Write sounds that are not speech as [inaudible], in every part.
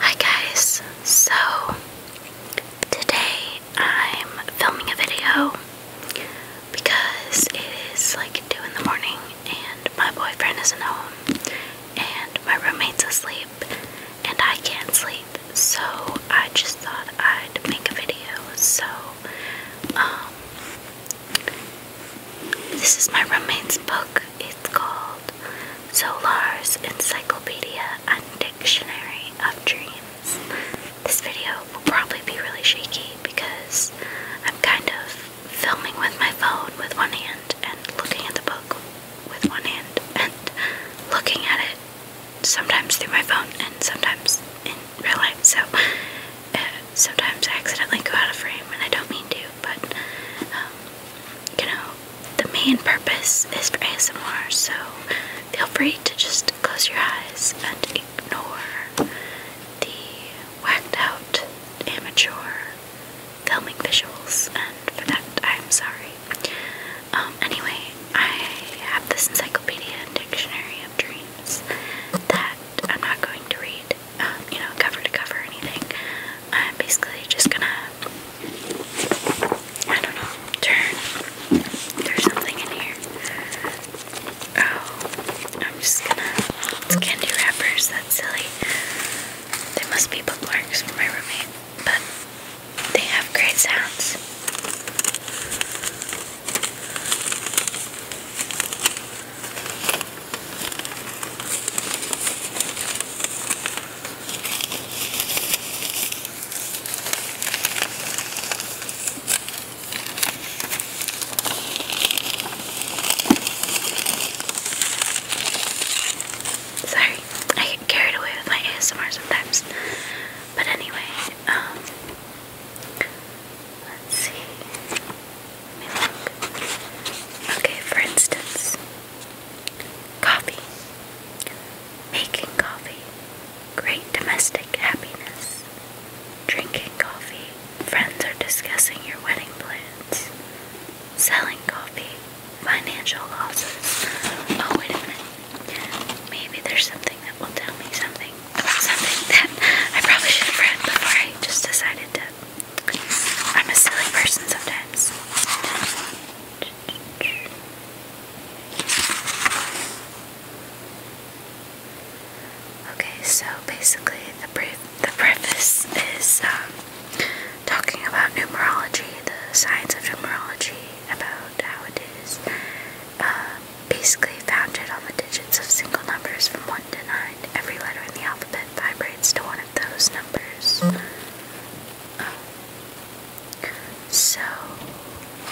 Hi guys, so today I'm filming a video because it is like 2 in the morning and my boyfriend isn't home and my roommate's asleep and I can't sleep so I just thought I'd make a video so um this is my roommate's book it's called Solar's Encyclopedia and Dictionary of Dreams. This video will probably be really shaky because I'm kind of filming with my phone with one hand and looking at the book with one hand and looking at it sometimes through my phone and sometimes in real life. So uh, sometimes I accidentally go out of frame and I don't mean to, but um, you know, the main purpose is for ASMR, so feel free to just close your eyes and ignore the whacked out amateur filming visuals, and for that, I'm sorry. Um, anyway, I have this encyclopedia dictionary of dreams that I'm not going to read, um, you know, cover to cover anything. I'm basically just gonna, I don't know, turn. There's something in here. Oh, I'm just gonna, it's candy wrappers, that's silly. They must be bookmarks for my roommate, but they have great sounds. Sorry, I get carried away with my ASMR sometimes. But anyway, um, let's see. Okay, for instance, Coffee. Making coffee. Great domestic happiness. Drinking coffee. Friends are discussing your wedding plans. Selling coffee. Financial losses. Oh, wait a minute. Maybe there's something that will tell me something something that I probably should have read before I just decided to I'm a silly person sometimes. Okay, so basically, the brief, the preface is um, talking about numerology, the science of numerology, about how it is uh, basically founded on the digits of single numbers from one to nine. Every letter in the alphabet vibrates to one of those numbers. So,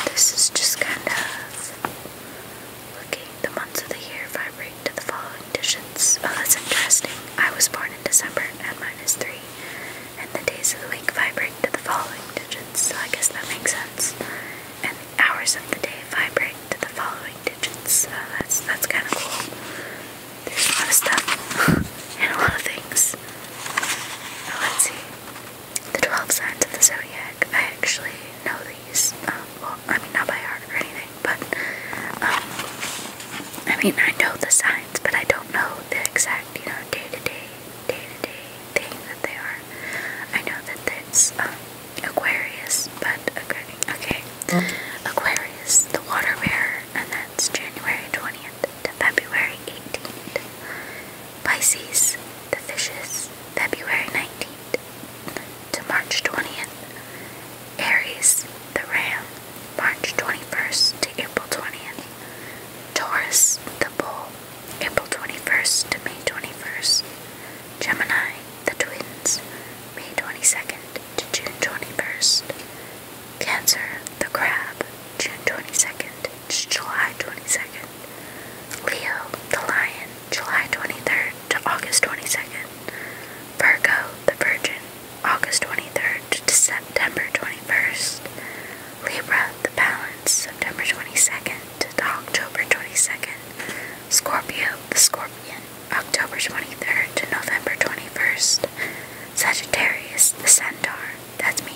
this is just kind of looking the months of the year vibrate to the following digits. Oh, that's interesting. I was born in December at minus three, and the days of the week vibrate to the following digits, so I guess that makes sense. And the hours of the day vibrate to the following digits, so that's, that's kind of cool. There's a lot of stuff [laughs] and a lot of things. let's see. The 12 signs of the zodiac. I actually know these. Um, well, I mean, not by heart or anything, but um, I mean, I know the signs, but I don't know the exact, you know, day to day, day to day thing that they are. I know that it's um, Aquarius, but okay. Aquarius, the water bearer and that's January 20th to February 18th. Pisces, the fishes, February 19th to March 20th. Aries, the ram, March 21st to April 20th. Taurus, the bull, April 21st to May 21st. Gemini, the twins, May 22nd to June 21st. Cancer, the crab, June 22nd to July 22nd. Leo, the lion, July 23rd to August 22nd. Virgo, the virgin, August 23rd to September 21st. Libra, the balance, September 22nd to October 22nd. Scorpio, the scorpion, October 23rd to November 21st. Sagittarius, the centaur, that's me,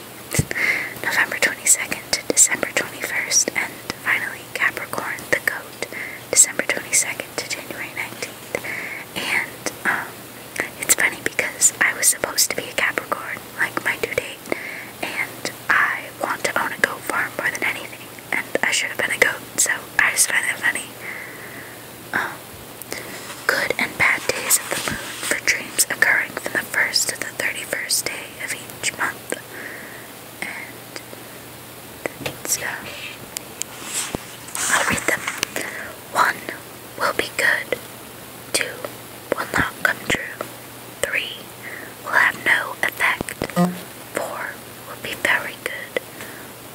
November 22nd to December 21st, and finally Capricorn, the goat, December 22nd to January 19th. And um, it's funny because I was supposed to be a Capricorn, like my due date, and I want to own a goat farm more than anything, and I should have been a goat, so I just find that funny. Um, Good and bad days of the moon for dreams occurring from the first to the thirty-first day of each month, and stuff. I'll read them. One will be good. Two will not come true. Three will have no effect. Four will be very good.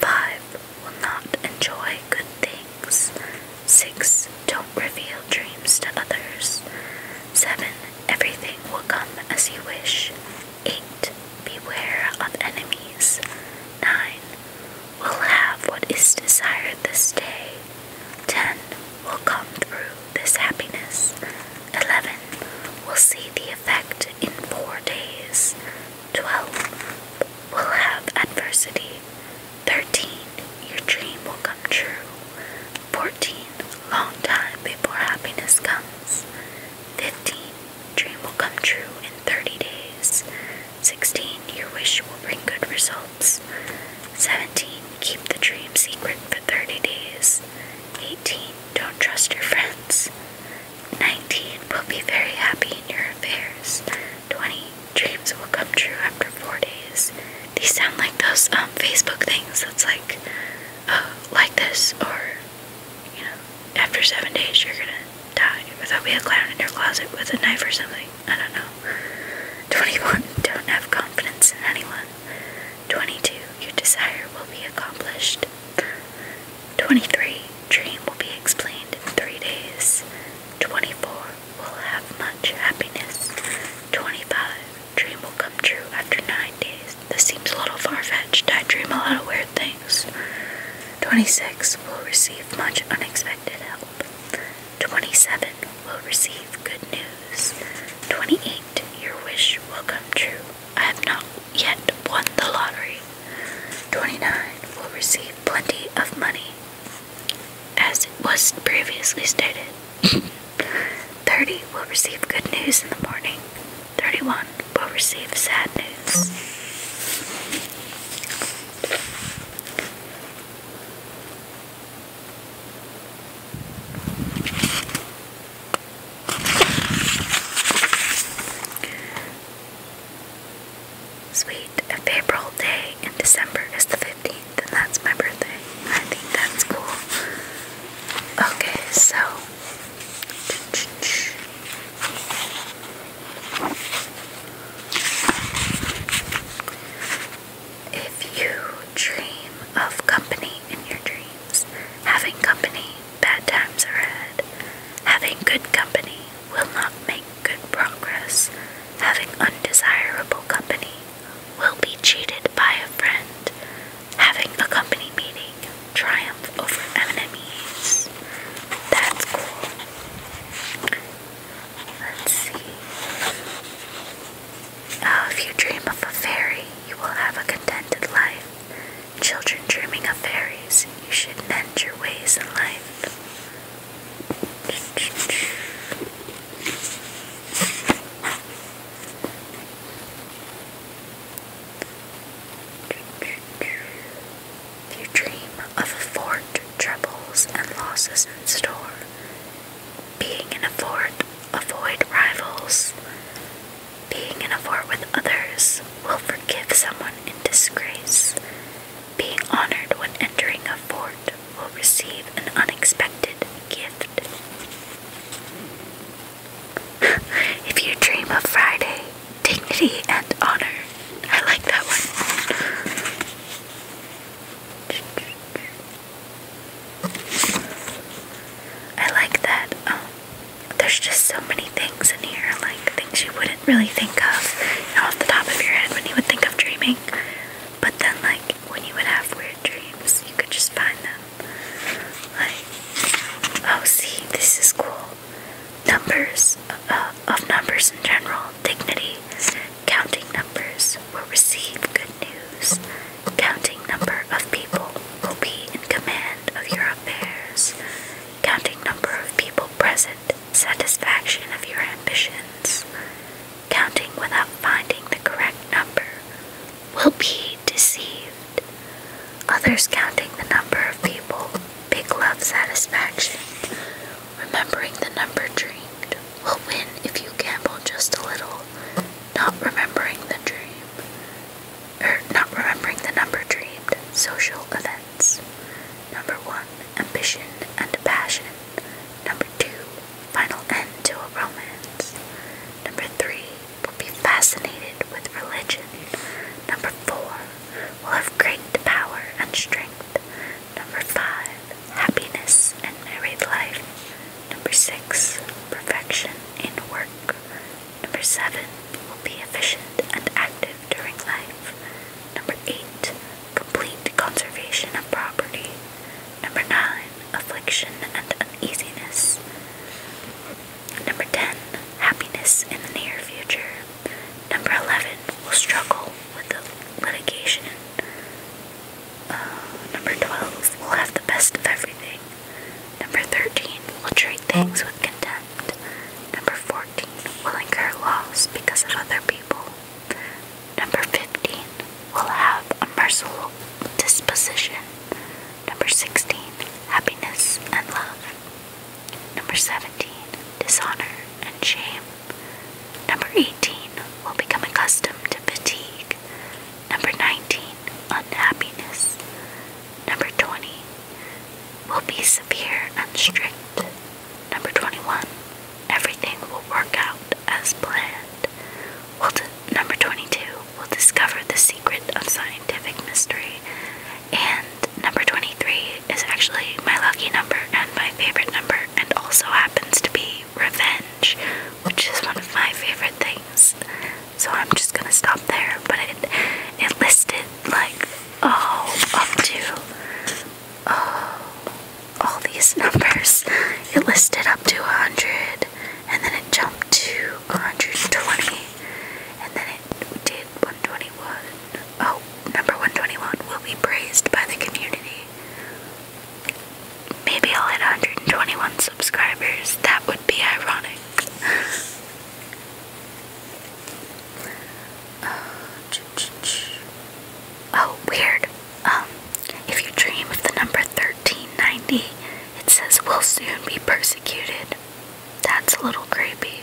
Five will not enjoy good things. 6. Don't reveal dreams to others. 7. Everything will come as you wish. 8. Beware of enemies. 9. Will have what is desired this day. 10. Will come through this happiness. 11. Will see the effect in four days. 12. Will have adversity. 13. Your dream will come true. 14. Long time before happiness comes. 15. Dream will come true in 30 days. 16. Your wish will bring good results. 17. Keep the dream secret for 30 days. 18. Don't trust your friends. 19. Will be very happy in your affairs. 20 dreams will come true after four days. These sound like those um, Facebook things that's like, uh, like this, or, you know, after seven days you're gonna die, or there'll be a clown in your closet with a knife or something. I don't know. 21. [laughs] Don't have confidence in anyone. 22. Your desire will be accomplished. 23. Dream will be explained in three days. 24 will have much happiness. 25. Dream will come true after 9 days. This seems a little far fetched. I dream a lot of weird things. 26. Will receive much unexpected help. 27. Will receive good news. 28. Your wish will come true. I have not yet won the lottery. 29. Will receive plenty of money as it was previously stated. [laughs] 30 will receive good news in the morning, 31 will receive sad news. Sweet, a day in December is the 15th, and that's my birthday. I think that's cool. Okay, so. If you dream of company in your dreams, having company, bad times ahead. Having good company, will not make good progress, having undesirable company, will be cheated by a friend, having a company meeting, triumph over enemies. That's cool. Let's see. Oh, if you dream of a fairy, you will have a contented life. Children dreaming of fairies, you should mend your ways in life. You dream of a fort, troubles and losses in store. Being in a fort, avoid rivals. Being in a fort with others will forgive someone in disgrace being honored when entering a fort, will receive an unexpected gift. [laughs] if you dream of Friday, dignity and honor. I like that one. I like that. Um, there's just so many things in here, like things you would would really think of off the top of your head when you would think of dreaming. But then, like, when you would have weird dreams, you could just find them. Like, oh, see, this is cool. Numbers, uh, of numbers in general, dignity, counting numbers will receive good news. Counting number of people will be in command of your affairs. Counting number of people present satisfaction of your ambitions, counting without finding the correct number, will be deceived. Others counting the number of people, big love satisfaction, remembering the number dreamed, will win if you gamble just a little, not remembering the dream, or er, not remembering the number dreamed, social event. Number one, ambition and passion. Number two, final end to a romance. Number three, will be fascinated with religion. Number four, will have great power and strength. Number five, happiness and married life. Number six, perfection in work. Number seven, will be efficient and active during life. Number eight, complete conservation of property. Number nine, affliction and uneasiness. Number ten, happiness in the near future. Number eleven, will struggle with litigation. Uh, number twelve, will have the best of everything. Number thirteen, will treat things with contempt. Number fourteen, will incur loss because of other people. Number 15 will have a merciful disposition. Number 16, happiness and love. Number 17, dishonor and shame. Number 18, will become accustomed to fatigue. Number 19, unhappiness. Number 20, will be severe and strict. Number 21. Everything will work out as planned. we number 22. We'll discover the secret of scientific mystery. And number 23 is actually my lucky number and my favorite number, and also happens to be revenge, which is one of my favorite things. So I'm just gonna stop there. But it it listed like oh up to oh, [sighs] all these numbers. [laughs] It listed up to 100, and then it jumped to 120, and then it did 121. Oh, number 121 will be praised by the community. Maybe I'll hit 121 subscribers. That would be ironic. [laughs] Oh, weird. Um, if you dream of the number 1390, it says we'll soon be persecuted. That's a little creepy.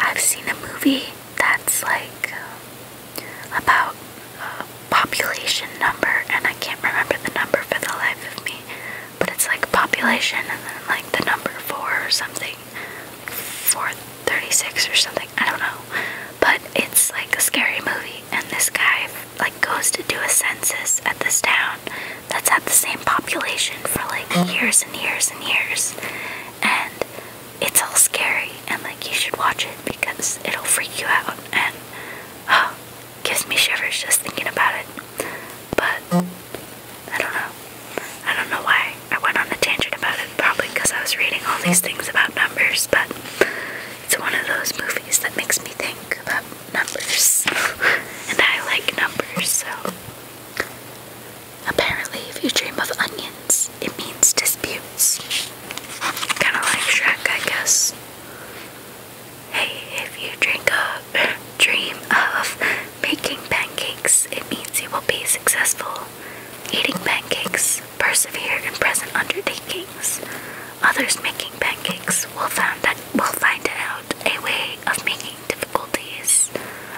I've seen a movie that's like um, about uh, population number, and I can't remember the number for the life of me, but it's like population and then like the number four or something, 436 or something. I don't know. But it's like a scary movie, and this guy like goes to do a census at this town that's had the same population for like years and years and years. And it's all scary, and like you should watch it because it'll freak you out. And gives me shivers just thinking about it. But I don't know. I don't know why I went on a tangent about it probably because I was reading all these things about numbers, but it's one of those movies that makes me think about numbers. [laughs] and I like numbers, so. Apparently, if you dream of onions, it means disputes. Kinda like Shrek, I guess. Hey, if you drink a [laughs] dream of making pancakes, it means you will be successful eating pancakes, persevere in present undertakings. Others making pancakes will find that will find out a way of making difficulties.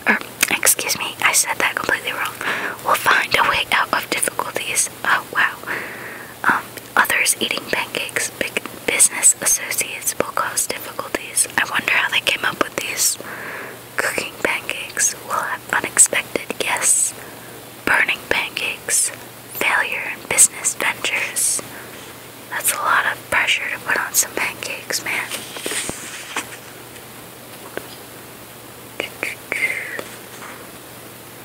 Or er, excuse me, I said that completely wrong. Will find a way out of difficulties. Oh wow. Um, others eating pancakes, big business associates will cause difficulties. I wonder how they came up with these. Cooking pancakes will have unexpected guests. Burning pancakes, failure in business ventures. That's a lot of pressure to put on some pancakes, man.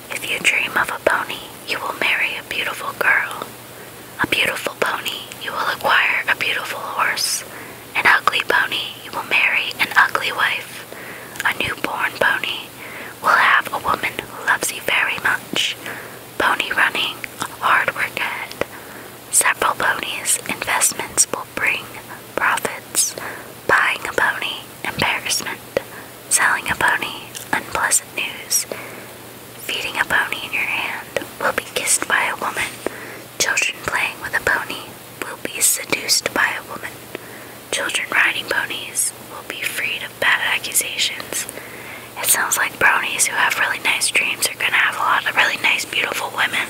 If you dream of a pony, you will marry a beautiful girl. A beautiful pony, you will acquire a beautiful horse. An ugly pony will marry an ugly wife. A newborn pony will have a woman who loves you very much. Pony running, hard work ahead. Several ponies, investments will bring profits. Buying a pony, embarrassment. Selling a pony, unpleasant news. Feeding a pony in your hand will be kissed by a woman. Children playing with a pony will be seduced by a woman. Children riding ponies will be freed of bad accusations. It sounds like bronies who have really nice dreams are going to have a lot of really nice, beautiful women.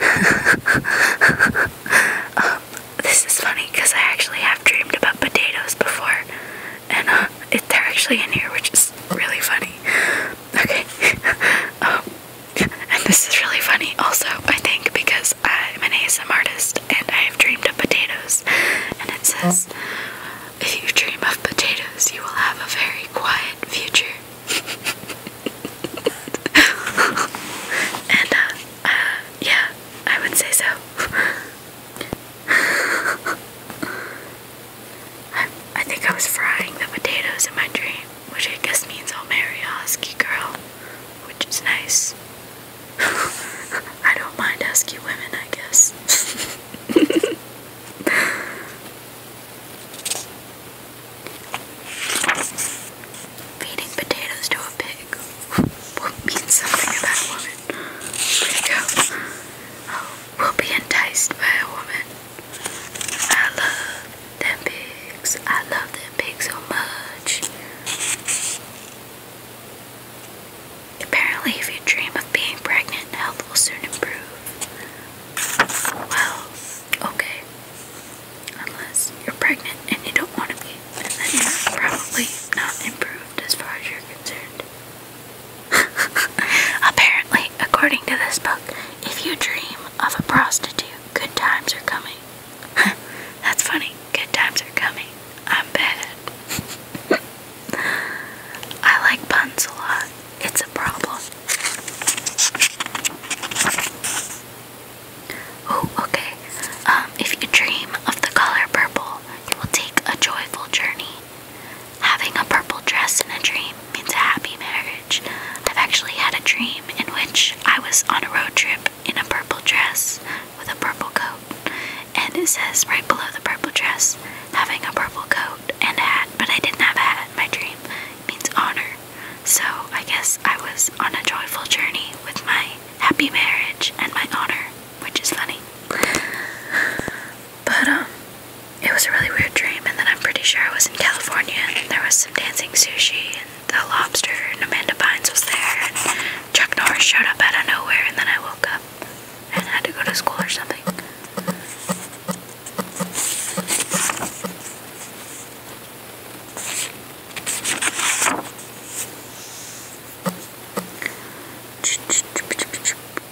[laughs] Um, this is funny because I actually have dreamed about potatoes before and uh, they're actually in here, which is really funny. Okay, [laughs] um, and this is really funny also, I think, because I'm an ASM artist and I have dreamed of potatoes, and it says, if you dream of potatoes, you will have a very quiet future. [laughs] and uh, uh, yeah, I would say so. [laughs] [laughs] I, think I was frying the potatoes in my dream, which I guess means I'll marry a husky girl, which is nice. [laughs] I don't mind husky women, I guess. [laughs] Feeding potatoes to a pig. What means something about women? Where'd it go? Oh, will be enticed by a woman. I love them pigs. I love them pigs so much. Apparently, if you dream of being pregnant, health will soon improve. Well, okay. Unless you're pregnant and you don't want to be, then you're probably not improved as far as you're concerned. [laughs] Apparently, according to this book, if you dream of a prostitute, good times are coming. [laughs] That's funny. Good times are coming. I'm bad. [laughs] I like puns a lot. It's a problem. Oh, okay. Um, if you dream of the color purple, you will take a joyful journey Having a purple dress in a dream means a happy marriage. I've actually had a dream in which I was on a road trip in a purple dress with a purple coat. And it says right below the purple dress, having a purple coat and a hat, but I didn't have a hat in my dream, means honor. So I guess I was on a joyful journey with my happy marriage and my honor, which is funny. But, um, it was a really weird dream, and then I'm pretty sure I was in California and there was some dancing sushi and the lobster and Amanda Bynes was there and Chuck Norris showed up out of nowhere and then I woke up and had to go to school or something. [laughs] this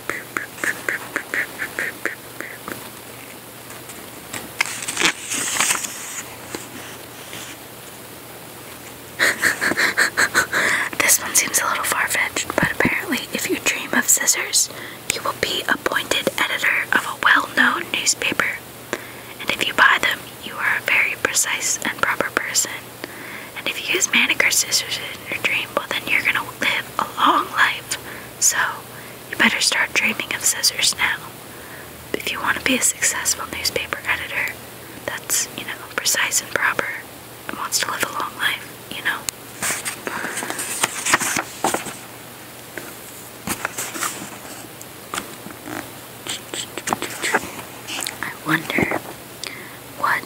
one seems a little far fetched, but apparently, if you dream of scissors, you will be appointed editor of a well known newspaper. And if you buy them, you are a very precise and proper person. And if you use manicure scissors in your dream, well, then you're gonna live a long life. So, you better start dreaming of scissors now. If you want to be a successful newspaper editor that's, you know, precise and proper and wants to live a long life, you know. I wonder what,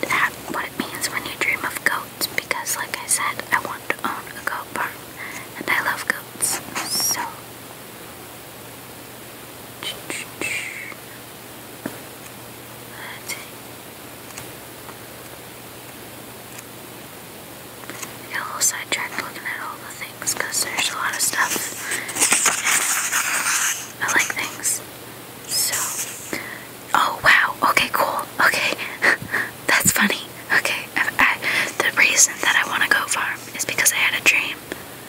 what it means when you dream of goat goats because, like I said, I want to own a goat farm and I love goats. So. got a little sidetracked looking at all the things there's a lot of stuff. I like things. So, Oh wow. Okay, cool. Okay, [laughs] that's funny. Okay, the reason that I want to go farm is because I had a dream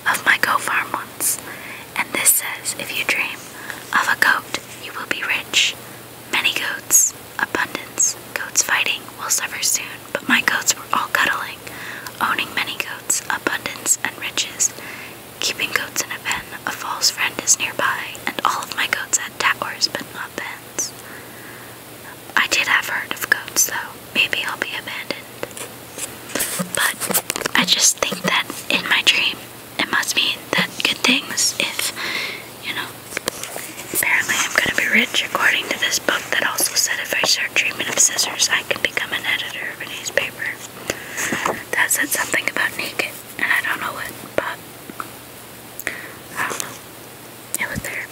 of my go farm once, and this says if you dream of a goat, you will be rich. Many goats, abundance. Goats fighting will suffer soon, but my goats were all cuddling, owning many goats, abundance and riches. Keeping goats in a pen, a false friend is nearby, and all of my goats had towers, but weapons. I did have heard of goats though. Maybe I'll be abandoned. But I just think that in my dream it must mean that good things if you know apparently I'm gonna be rich according to this book that also said if I start treatment of scissors I can become an editor of a newspaper. That said something about naked and I don't know what but I don't know. It was there.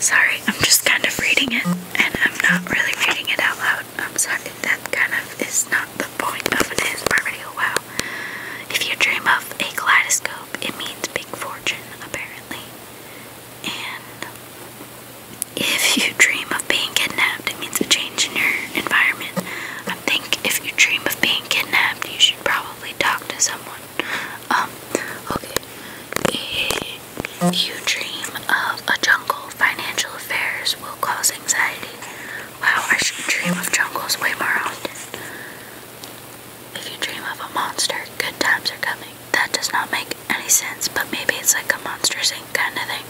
Sorry, I'm just kind of reading it, and I'm not really reading it out loud. I'm sorry, that kind of is not the point of an video. Wow. If you dream of a kaleidoscope, it means big fortune, apparently. And if you dream of being kidnapped, it means a change in your environment. I think if you dream of being kidnapped, you should probably talk to someone. Um, okay. If you dream of a jungle, financial affairs will cause anxiety. Wow, I should dream of jungles way more often. If you dream of a monster, good times are coming. That does not make any sense, but maybe it's like a monster's Inc. kind of thing.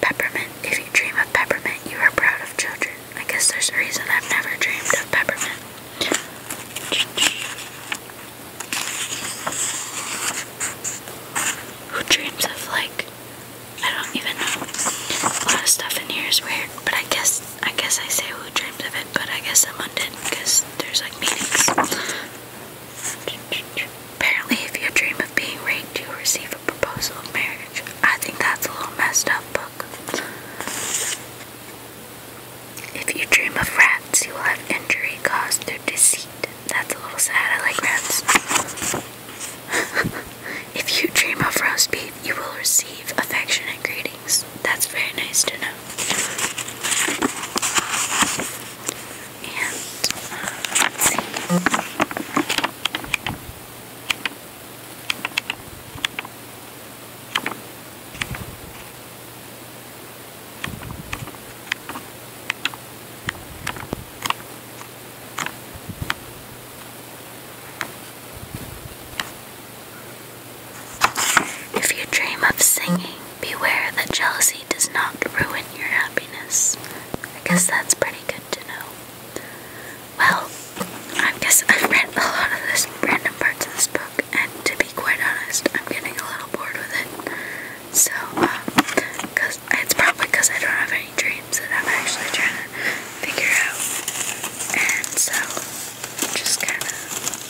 Peppermint. If you dream of peppermint, you are proud of children. I guess there's a reason I've never dreamed of peppermint. Who dreams of like I don't even know. A lot of stuff in here is weird, but I guess I guess I say who dreams of it, but I guess I'm someone did because there's like meanings. Apparently, if you dream of being raped, you will receive a proposal of marriage. I think that's a little messed up book. If you dream of rats, you will have injury caused through deceit. That's a little sad. I like rats. [laughs] if you dream of roast beef, you will receive affectionate greetings. That's very nice to know. And if you dream of singing, beware that jealousy does not ruin your happiness. I guess that's pretty good to know. Well, I guess I've read a lot of this random parts of this book, and to be quite honest, I'm getting a little bored with it. So, uh, cause it's probably because I don't have any dreams that I'm actually trying to figure out, and so I'm just kind of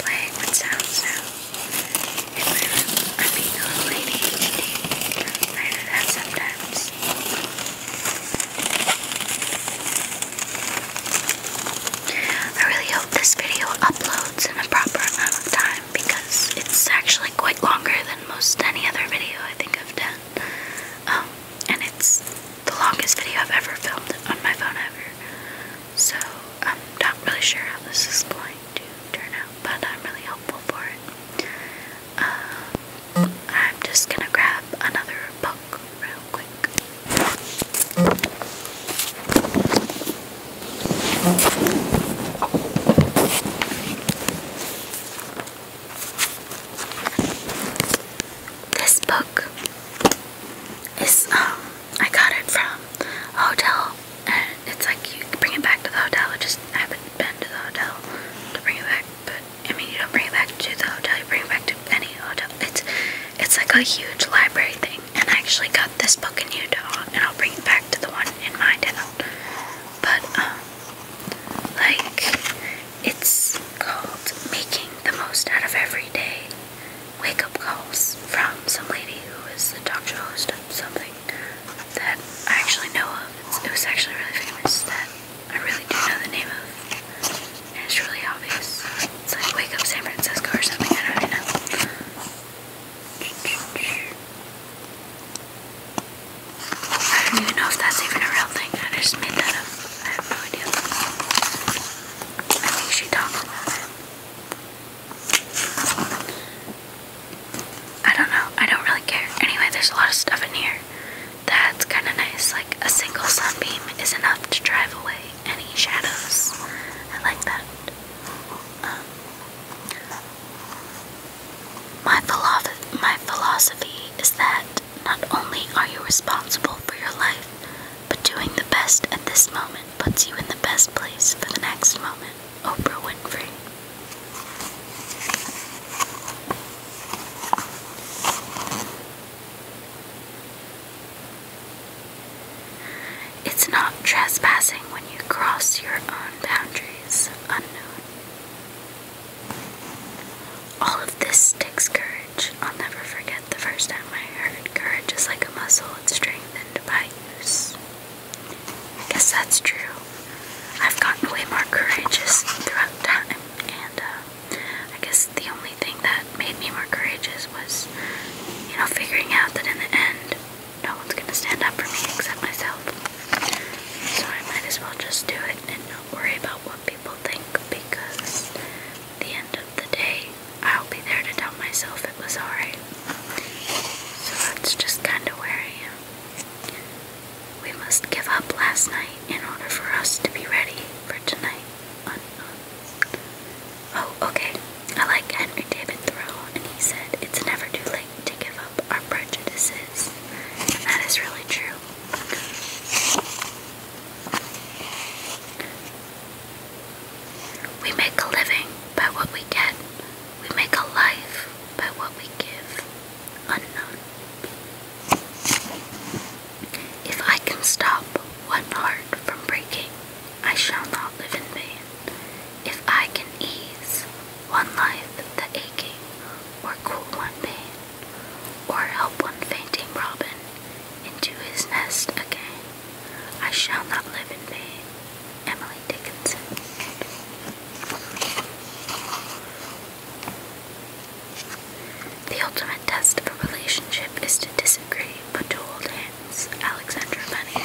playing with sounds now. In I'm a little lady. I do that sometimes. I really hope this video uploads in a proper amount of time because it's actually quite longer than most any other video I think I've done. Um, and it's the longest video I've ever filmed on my phone ever. So I'm not really sure how this is going to turn out, but I'm really hopeful for it. Um, I'm just gonna grab another book real quick. This book is um I got it from hotel and it's like you bring it back to the hotel. I have been to the hotel to bring it back, but I mean, you don't bring it back to the hotel, you bring it back to any hotel. It's, it's like a huge library thing. And I actually got this book in Utah, and I'll bring it back to the one in my town. But, um, like, it's called Making the Most Out of Every Day Wake Up Calls from some lady who is the talk show host of something that I actually know of. It was actually really famous that I really do know the name of And it's really obvious. It's like Wake Up San Francisco or something. I don't really know. I don't even know if that's even a real thing. I just made that up. I have no idea. I think she talks about it. I don't know. I don't really care. Anyway, there's a lot of stuff in here. That's kind of nice. Like a single sunbeam is enough to drive away any shadows. I like that. Um, my, philo my philosophy is that not only are you responsible for your life, but doing the best at this moment puts you in the best place for the next moment. Oprah Winfrey. It's not trespassing when you cross your own boundaries unknown. All of this takes courage. I'll never forget the first time I heard courage is like a muscle, it's strengthened by use. I guess that's true. I've gotten way more courageous throughout time, and uh, I guess the only thing that made me more courageous was, you know, figuring out that in the end, no one's gonna stand up for me except myself. So I might as well just do it and not worry about what people think because the end of the day, I'll be there to tell myself it was alright. So that's just kinda where I am. We must give up last night in order for us to be ready for tonight. Oh, okay. I like Henry David Thoreau, and he said, It's never too late to give up our prejudices. that is really true. We make a living by what we get, we make a life by what we give. Unknown. If I can stop one heart from breaking, I shall not live in vain. If I can ease one life the aching, or cool one pain, or help one fainting robin into his nest again, I shall not live in vain. Emily Dickinson. The ultimate test of a relationship is to disagree but to hold hands. Alexandra Bunny.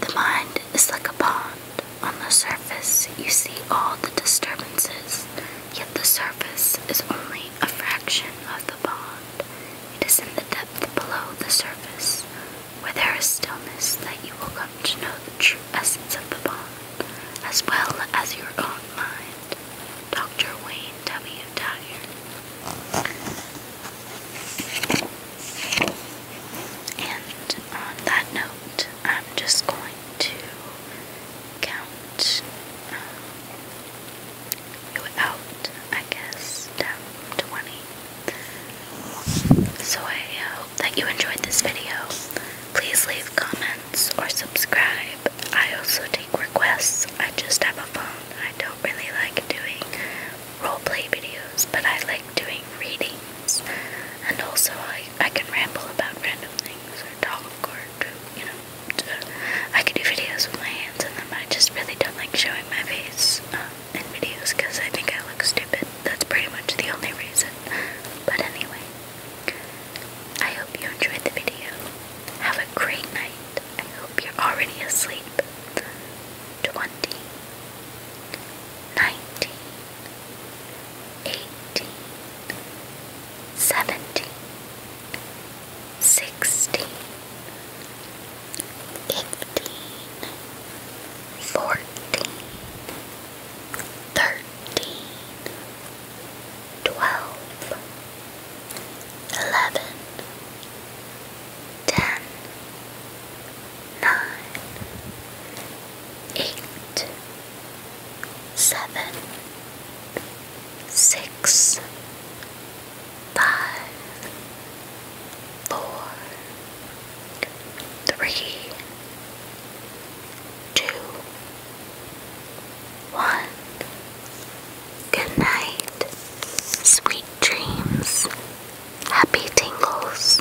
The mind is like a pond. On the surface, you see all the disturbances, yet the surface is only a fraction of the bond. It is in the depth below the surface, where there is stillness, that you will come to know the true essence of the bond, as well as your own mind. Dr. Wayne W. Dyer. And on that note, I'm just going to count um, you I guess, down 20. So I uh, hope that you enjoyed this video. Please leave comments or subscribe. I also take requests. I just have a phone. I don't really like doing roleplay videos, but I like doing readings. And also, I I, can ramble about random things or talk or, you know, I can do videos with my hands in them. I just really don't like showing my face um, in videos because I think I look stupid. That's pretty much the only reason. But anyway, I hope you enjoyed the video. Have a great night. I hope you're already asleep. 20 eighteen, seventeen, sixteen, fifteen, fourteen, thirteen, twelve, eleven, ten, nine, eight seven, six, five, four, three, two, one. Good night, sweet dreams, happy tingles.